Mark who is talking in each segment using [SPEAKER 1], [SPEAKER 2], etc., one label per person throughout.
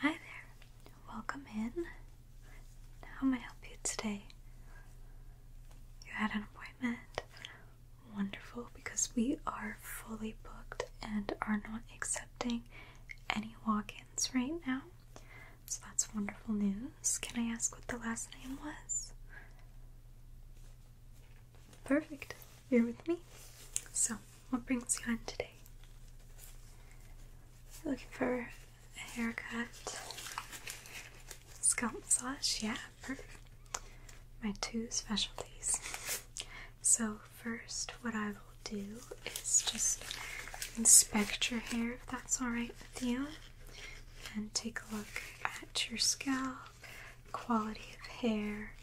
[SPEAKER 1] Hi there. Welcome in. How may I help you today? You had an appointment. Wonderful, because we are fully booked and are not accepting any walk ins right now. So that's wonderful news. Can I ask what the last name was? Perfect. You're with me. So, what brings you in today? looking for a haircut, scalp massage, yeah, perfect. My two specialties. So, first, what I will do is just inspect your hair if that's alright with you, and take a look at your scalp, quality of hair,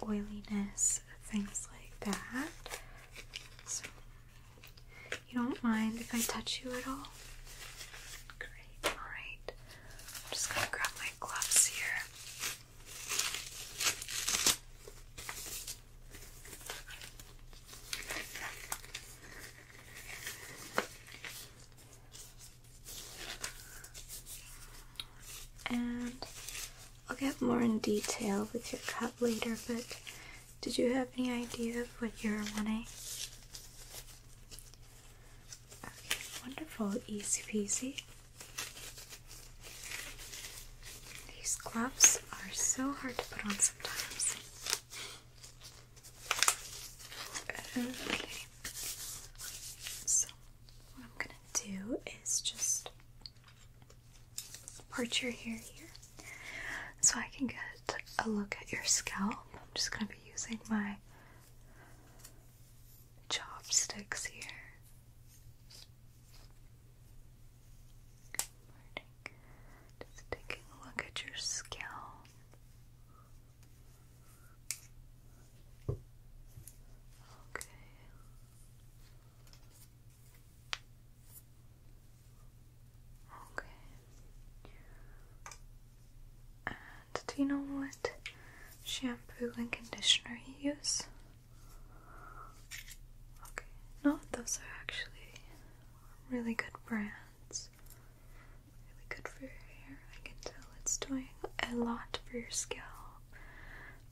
[SPEAKER 1] your oiliness, things like that you don't mind if I touch you at all? Great, alright. I'm just gonna grab my gloves here. And I'll get more in detail with your cup later, but did you have any idea of what you are wanting? wonderful, easy peasy. These gloves are so hard to put on sometimes. so what I'm gonna do is just part your hair here so I can get a look at your scalp. I'm just going to be using my chopsticks here. Just taking a look at your scalp. Okay. Okay. And do you know what shampoo and conditioner you use? Okay. No, those are actually really good brands. Really good for your hair. I can tell it's doing a lot for your scalp.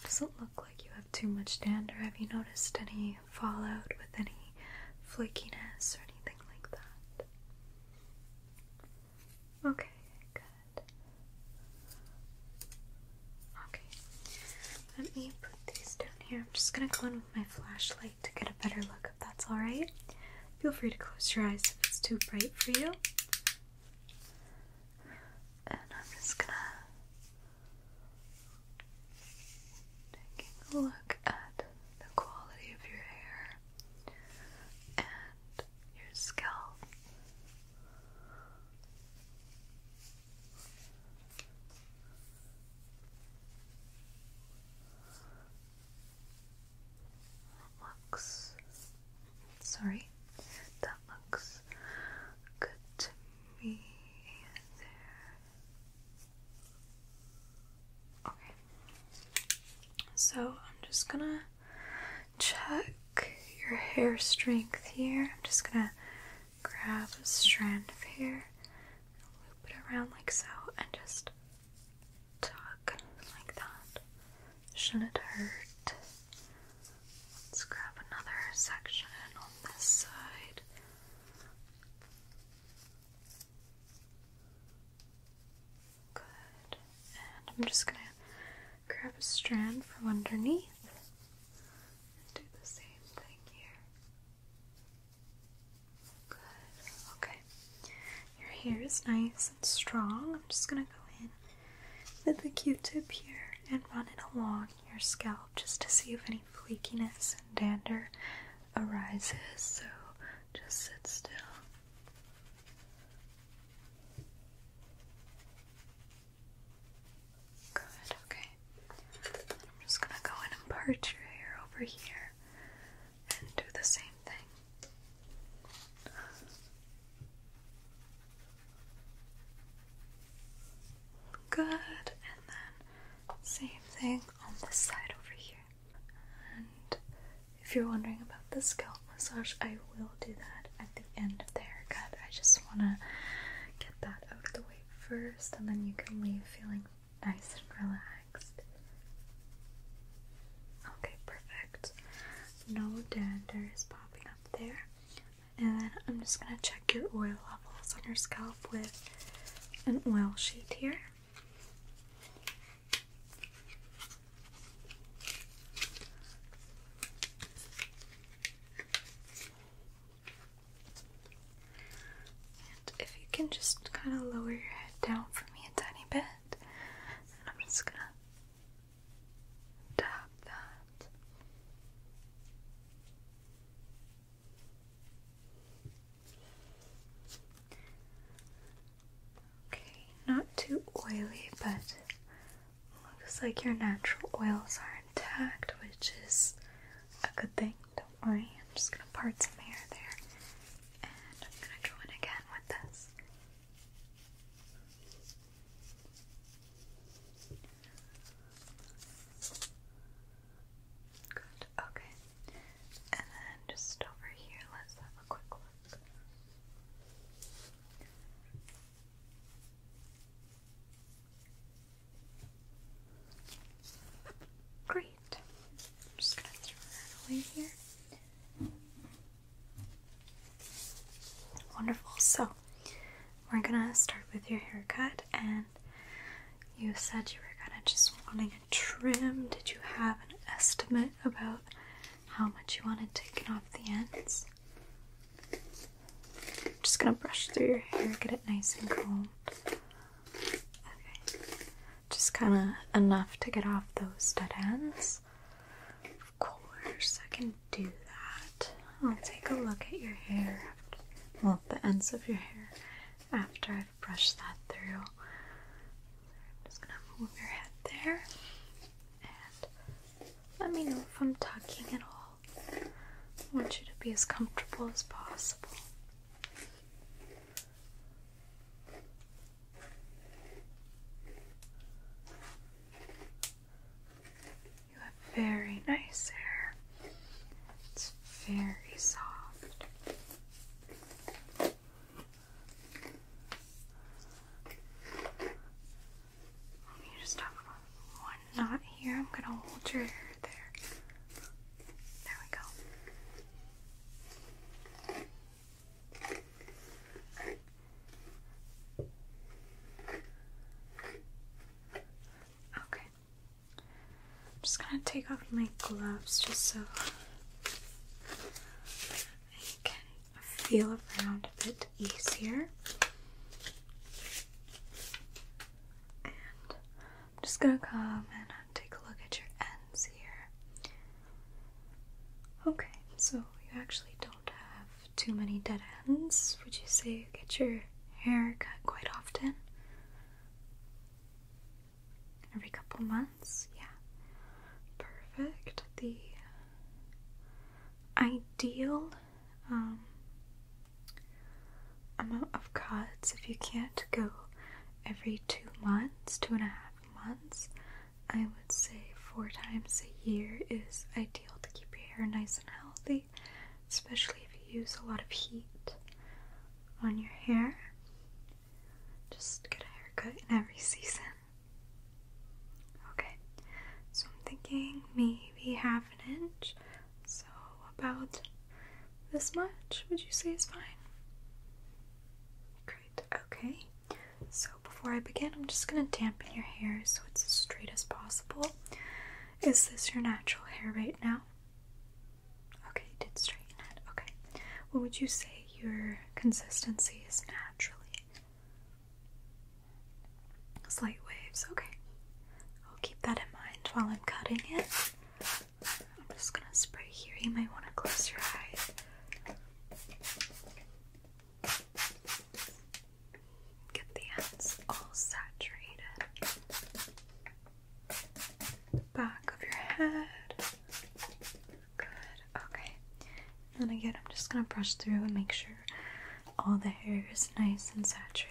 [SPEAKER 1] Doesn't look like you have too much dander? Have you noticed any fallout with any flakiness or anything like that? Okay, good. Okay, let me put these down here. I'm just gonna go in with my flashlight to get a better look, if that's alright. Feel free to close your eyes if it's too bright for you and I'm just gonna taking a look at the quality of your hair and your scalp. looks sorry, that looks good to me there. Okay. So I'm just gonna check your hair strength here. I'm just gonna grab a strand of hair, loop it around like so, and just tuck like that. Shouldn't hurt. Let's grab another section on this side. Good. And I'm just going to grab a strand from underneath and do the same thing here. Good. Okay. Your hair is nice and strong. I'm just going to go in with the q-tip here and run it along your scalp just to see if any flakiness and dander arises. So just sit still. Good, okay. I'm just gonna go in and part your hair over here and do the same thing. Good, and then same thing on this side over here. And if you're wondering about the scalp massage, I will do that at the end of the haircut. I just want to get that out of the way first, and then you can leave feeling nice and relaxed. Okay, perfect. No danders popping up there. And then I'm just going to check your oil levels on your scalp with an oil sheet here. And if you can just kind of lower your head down for me a tiny bit, and I'm just going to tap that. Okay, not too oily, but looks like your natural oils are intact, which is a good thing. Don't worry, I'm just gonna part some hair there, and I'm gonna go in again with this. Good, okay. And then just over here, let's have a quick look. Great. just going to throw that away here. Wonderful. So, we're going to start with your haircut and you said you were kind of just wanting a trim. Did you have an estimate about how much you wanted taken off the ends? just gonna brush through your hair, get it nice and combed. Okay, just kind of enough to get off those dead ends. Of course, I can do that. I'll take a look at your hair, well, the ends of your hair, after I've brushed that through. I'm just gonna move your head there and let me know if I'm tucking at all. I want you to be as comfortable as possible. You have very nice hair. It's very soft. You just have one knot here. I'm going to hold your hair there. There we go. Okay. I'm just gonna take off my gloves just so I can feel around a bit easier. And I'm just gonna come and uh, take a look at your ends here. Okay, so you actually don't have too many dead ends. Would you say get your hair cut quite often? Every couple months? Yeah. Perfect. The ideal um, amount of cuts, if you can't go every two months, two and a half months, I would say four times a year is ideal to keep your hair nice and healthy especially if you use a lot of heat on your hair. Just get a haircut in every season. Okay, so I'm thinking maybe half an inch, so about this much would you say is fine? Great, okay. So before I begin, I'm just gonna dampen your hair so it's as straight as possible. Is this your natural hair right now? Okay, did straighten it. Okay. What would you say your consistency is naturally? Slight waves. Okay. I'll keep that in mind while I'm cutting it. I'm just gonna spray here. You might want to close your eyes. Get the ends all saturated back of your head. Good, okay. And again, I'm just gonna brush through and make sure all the hair is nice and saturated.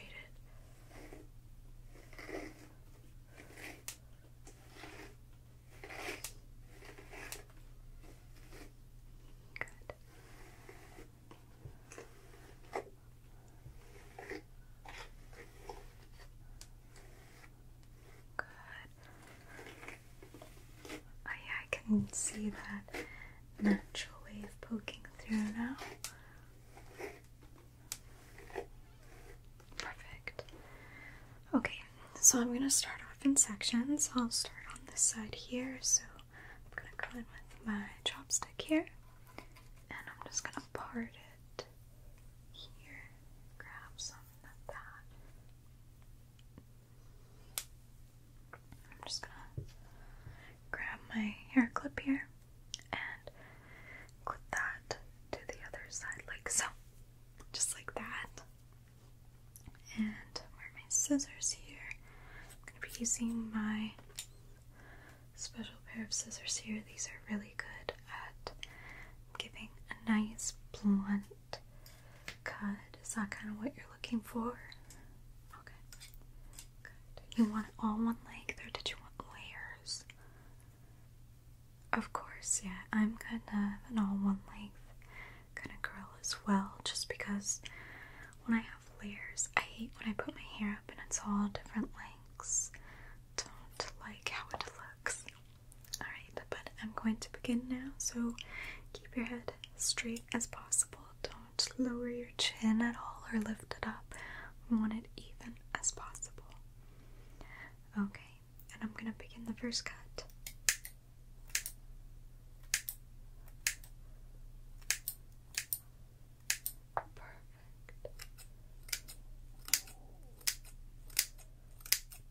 [SPEAKER 1] Good. Good. Oh I can see that natural wave poking through now. Perfect. Okay, so I'm gonna start off in sections. I'll start on this side here, so I'm gonna go in with my chopstick here, and I'm just gonna apart it here. Grab something of that. I'm just gonna grab my hair clip here and clip that to the other side, like so. Just like that. And where my scissors here. I'm gonna be using my special pair of scissors here. These are really good at giving a nice blunt cut. Is that kind of what you're looking for? Okay. Good. You want all one length or did you want layers? Of course, yeah. I'm kind of an all one length kind of curl as well just because when I have layers, I hate when I put my hair up and it's all different lengths don't like how it looks. Alright, but I'm going to begin now, so keep your head straight as possible. Don't lower your chin at all or lift it up. want it even as possible. Okay, and I'm going to begin the first cut. Perfect.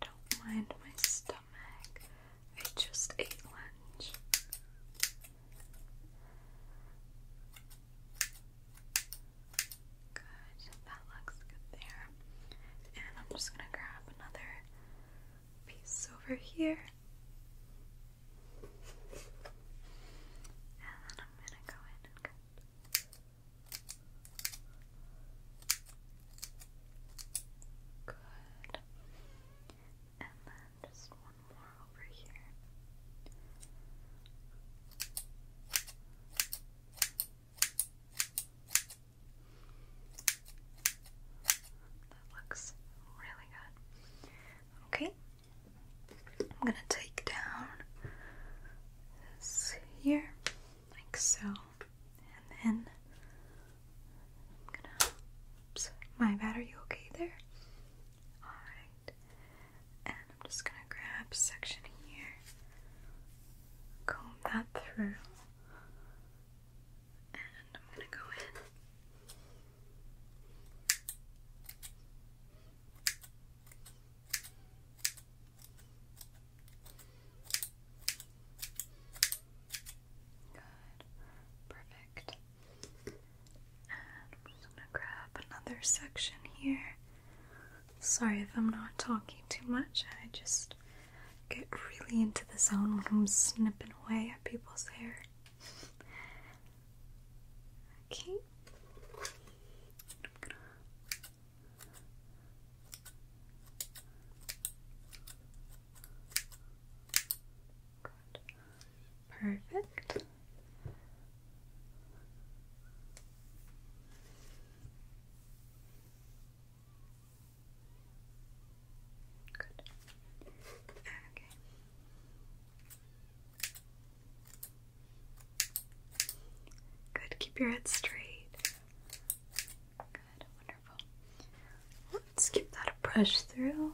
[SPEAKER 1] Don't mind my stomach. I just ate lunch. Good. That looks good there. And I'm just going to grab another piece over here. And then I'm going to go in and Good. And then just one more over here. That looks really good. Okay, I'm gonna take down this here, like so, and then I'm gonna. Oops, my bad, are you okay there? Alright, and I'm just gonna grab section here, comb that through, and I'm gonna go in. Good. Perfect. And I'm just gonna grab another section here. Sorry if I'm not talking too much. I just get really into the zone when I'm snipping away at people's hair. Okay. Perfect. Good. Okay. Good, keep your head straight. Good, wonderful. Let's give that a brush through.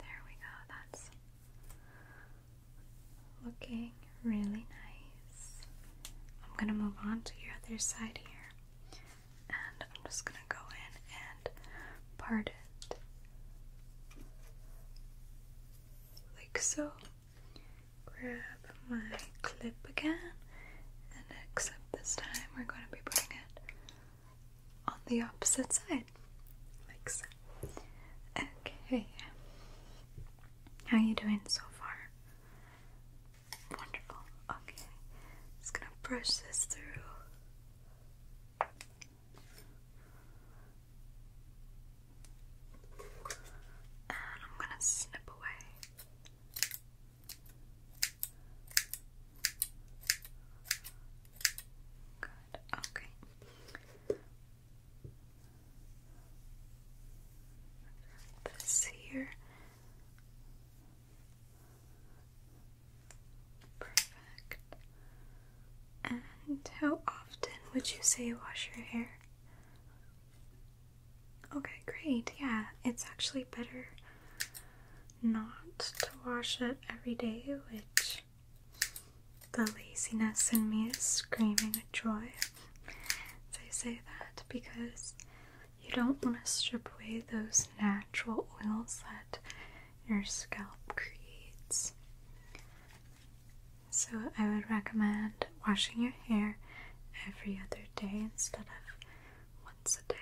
[SPEAKER 1] There we go, that's looking really nice. I'm gonna move on to your other side here, and I'm just gonna go in and part it like so. Grab my clip again, and except this time we're going to be putting it on the opposite side, like so. Okay, how you doing so far? Wonderful. Okay, just gonna brush this through and I'm going to snip away. Good, okay. This here. Perfect. And how often would you say you wash your hair? Okay, great. Yeah, it's actually better not to wash it every day, which the laziness in me is screaming at joy as I say that because you don't want to strip away those natural oils that your scalp creates. So I would recommend washing your hair every other day instead of once a day.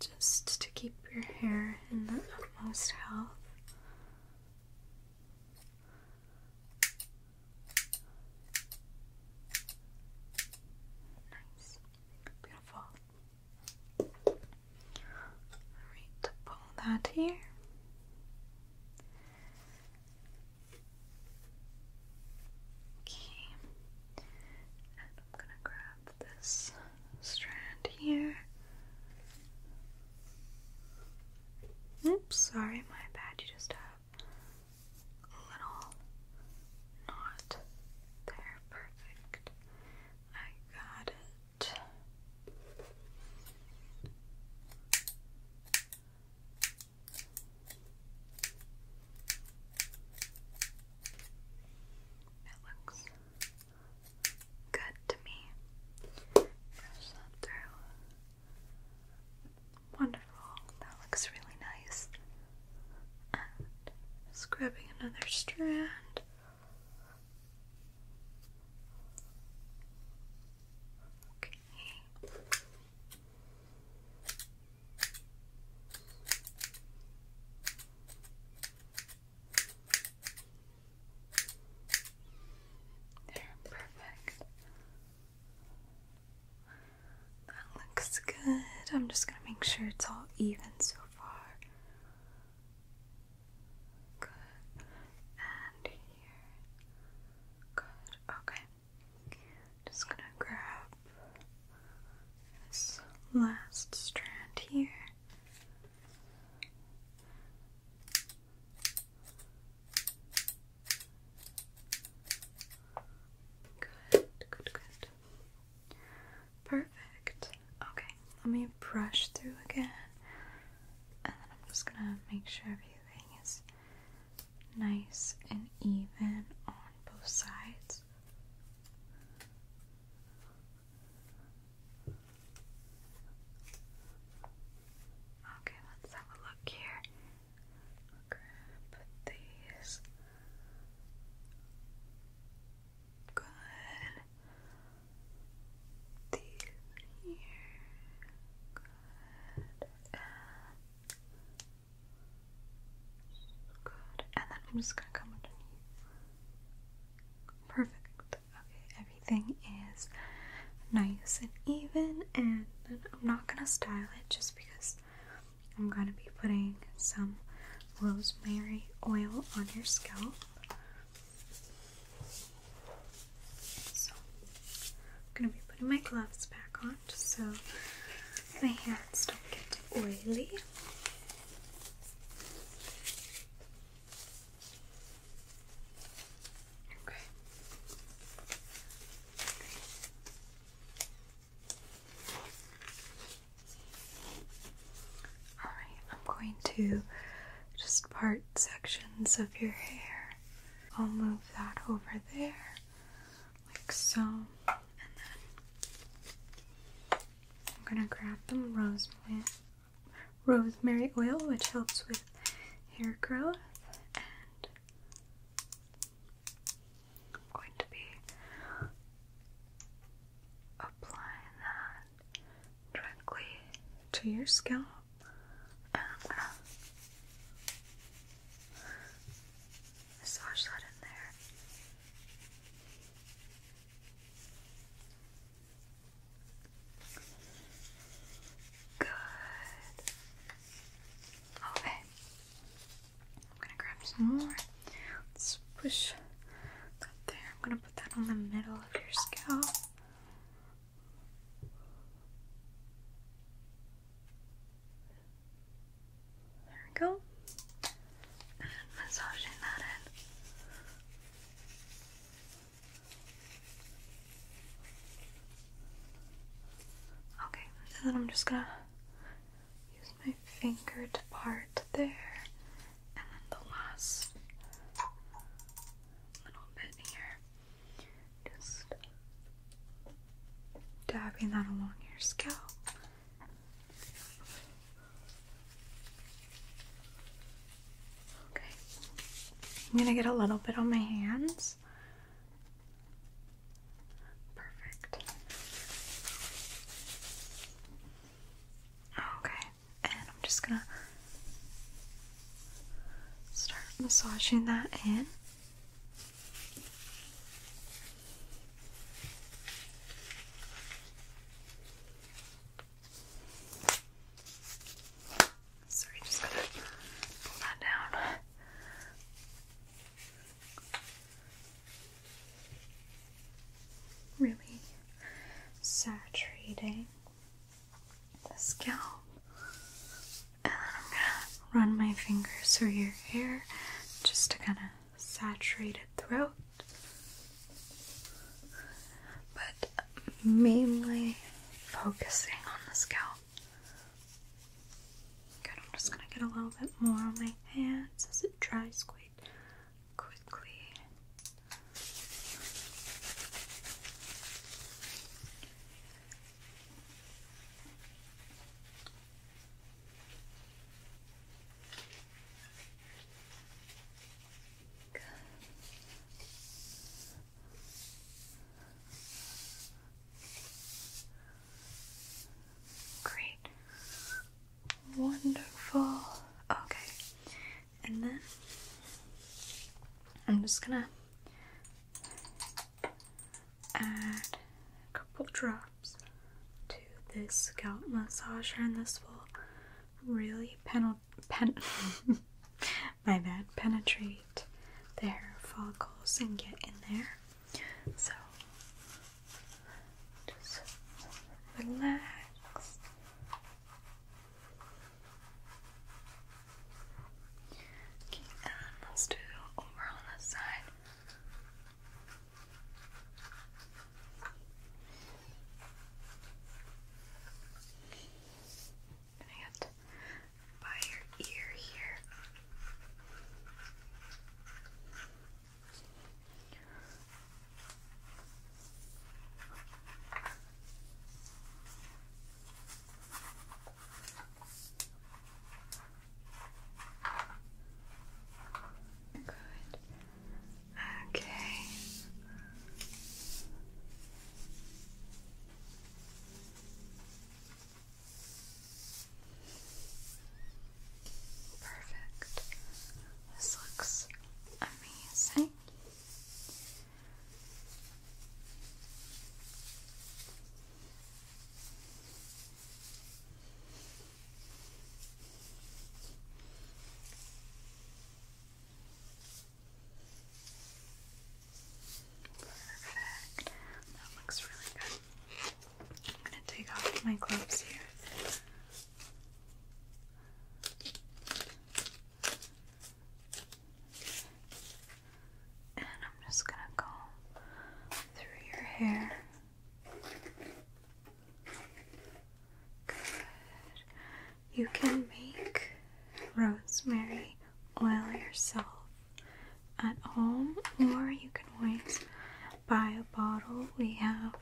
[SPEAKER 1] Just to keep your hair in the utmost health. Nice. Beautiful. Alright, pull that here. Okay, and I'm gonna grab this strand here. Oops, sorry, my bad. You just have a little knot there. Perfect. I got it. It looks good to me. Wonderful. That looks really nice. And scrubbing another strand. Okay. There, perfect. That looks good. I'm just going to make sure it's all even so far. Good. And here. Good. Okay. Just gonna grab this last strand here. Good, good, good. Perfect. Okay let me brush through again. And then I'm just gonna make sure everything is nice and even on both sides. Okay, let's have a look here. grab these. Good these here. Good. And good. And then I'm just gonna come underneath. Perfect. Okay, everything is nice and even and I'm not gonna style it just because I'm gonna be putting some rosemary oil on your scalp. So, I'm gonna be putting my gloves back on so my hands don't get oily. Okay. All right, I'm going to just part sections of your hair. I'll move that over there, like so, and then I'm gonna grab some rosemary, rosemary oil, which helps with hair growth, and I'm going to be applying that directly to your scalp and I'm uh, gonna massage that in there. Good. Okay. I'm gonna grab some more. Let's push that there. I'm gonna put that on the middle of your scalp. There we go. massaging that in. Okay, and then I'm just gonna use my finger to part there, and then the last little bit here. Just dabbing that along your scalp. Okay, I'm gonna get a little bit on my hands. Perfect. Okay and I'm just gonna start massaging that in. Sorry, just pull that down. Really saturating the scalp. And I'm gonna run my fingers through your hair just to kind of saturate it throughout. But mainly focusing on the scalp. Good, I'm just gonna get a little bit more on my hands as it dries quite quickly. Good. Great. Wonderful. Okay and then I'm just gonna add a couple drops to this scalp massager, and this will really pen pen my bad penetrate the hair follicles and get in there. So just relax. Okay, and let's do over on this side. gonna get by your ear here. Good. Okay. Perfect. This looks amazing. That looks really good. I'm going to take off my gloves here. And I'm just going to go through your hair. Good. You can make rosemary oil yourself at home, or you can always buy a bottle. We have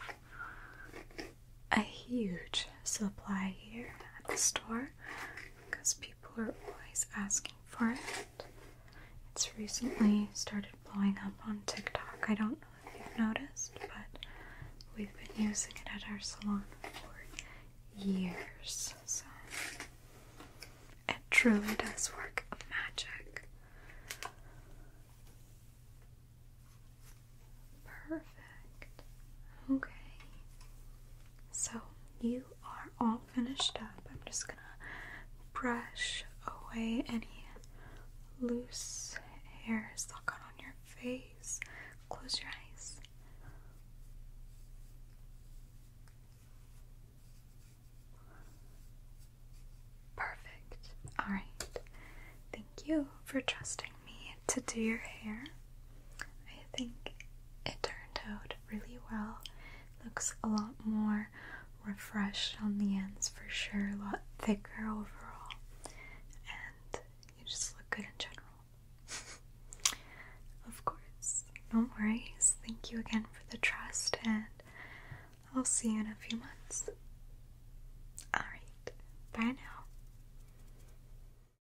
[SPEAKER 1] a huge supply here at the store, because people are always asking for it. It's recently started blowing up on TikTok. I don't know if you've noticed, but we've been using it at our salon for years. So it truly does work of magic. Okay. So you are all finished up. I'm just gonna brush away any loose hairs that got on your face. Close your eyes. Perfect. All right. Thank you for trusting me to do your hair. I think it turned out really well. Looks a lot more refreshed on the ends for sure, a lot thicker overall, and you just look good in general. of course, don't worry. Thank you again for the trust, and I'll see you in a few months. Alright, bye now.